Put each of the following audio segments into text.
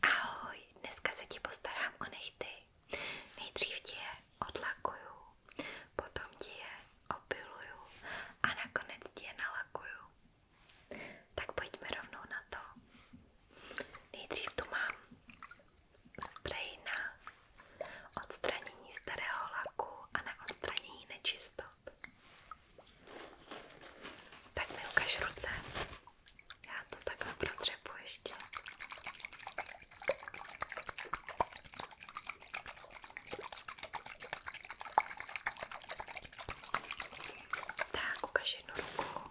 Ahoj, dneska se ti postarám o nechty. Nejdřív ti je odlakuju, potom ti je opiluju a nakonec ti je nalakuju. Tak pojďme rovnou na to. Nejdřív tu mám sprej na odstranění starého laku a na odstranění nečistot. Tak mi ukaž ruce. Já to takhle protřepu ještě. Tak, ukaž jednu ruku.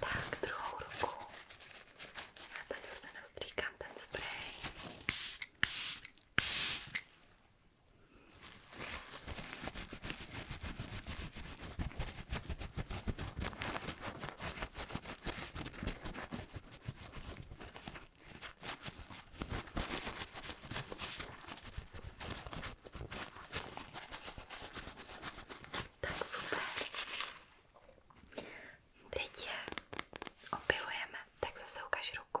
Tak, druhou ruku. Tak zase nastříkám ten spray. Tak super. Teď je opilujeme, tak zase ukaž ruku.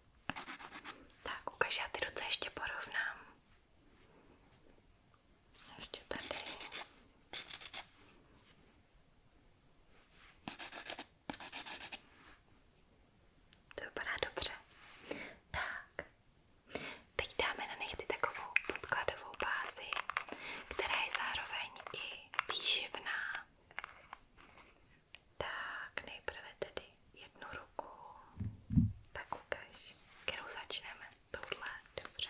Tak, ukaž, já ty ruce ještě porovnám. Ještě tady. To vypadá dobře. Tak, teď dáme na nechty takovou podkladovou bázi, která je zároveň i výživná. Tak nejprve tedy jednu ruku. Tak ukaž, kterou začneme. Tohle, dobře.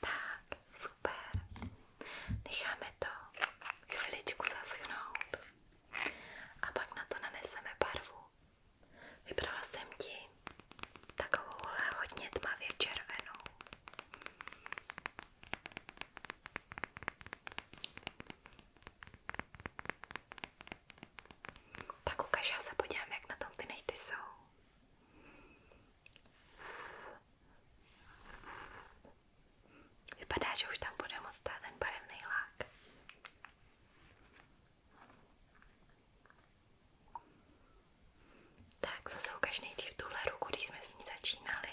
Tak, super. Necháme to chviličku zaschnout a pak na to naneseme barvu. Vybrala jsem ti takovouhle hodně tmavě červenou. Tak ukaž, já se podívám, jak na tom ty nechty jsou. Vypadá, že už tam bude moc stát ten barevný lák. Tak zase ukaž nejdřív tuhle ruku, když jsme s ní začínali.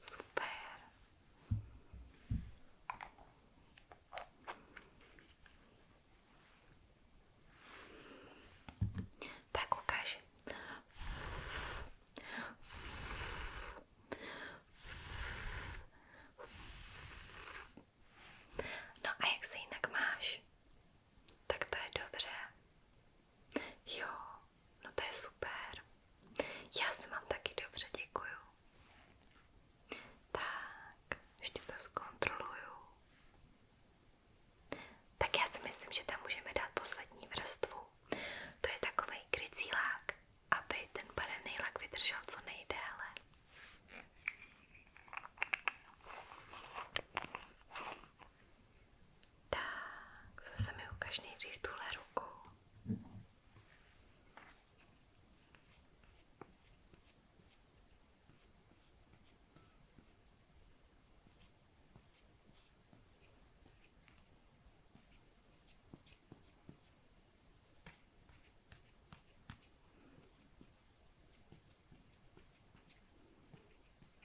Super. Tak ukáž. No a jak se jinak máš? Tak to je dobře. Jo, no to je super. Já se mám taky dobře, děkuju. Tak, ještě to zkontroluju. Tak já si myslím, že tam můžeme dát poslední vrstvu. To je takový krycí lák, aby ten barevný lak vydržel co nejdéle. Tak, zase mi ukaž nejdřív tuhle ruku.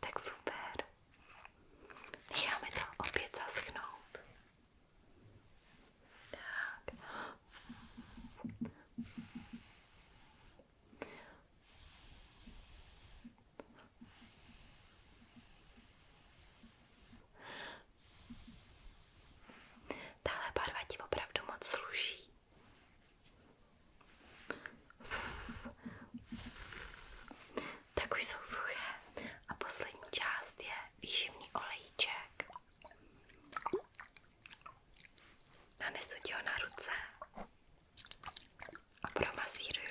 Tak super. Necháme to opět zaschnout. Tak. Tahle barva ti opravdu moc sluší. Tak už jsou suché. A poslední část je výživný olejček. Nanesu ti ho na ruce a promasíruju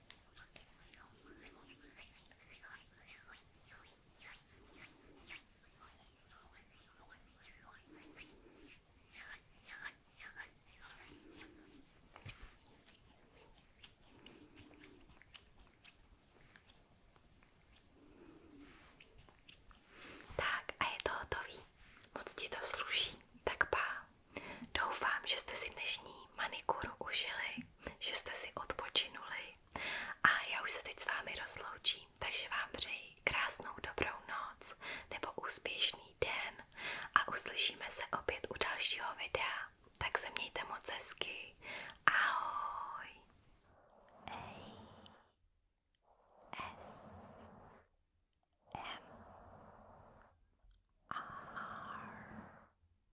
Tak a je to hotový. Moc ti to sluší. Tak pá, doufám, že jste si dnešní manikuru užili že jste si odpočinuli a já už se teď s vámi rozloučím, takže vám přeji krásnou dobrou noc nebo úspěšný den a uslyšíme se opět u dalšího videa. Tak se mějte moc hezky. Ahoj!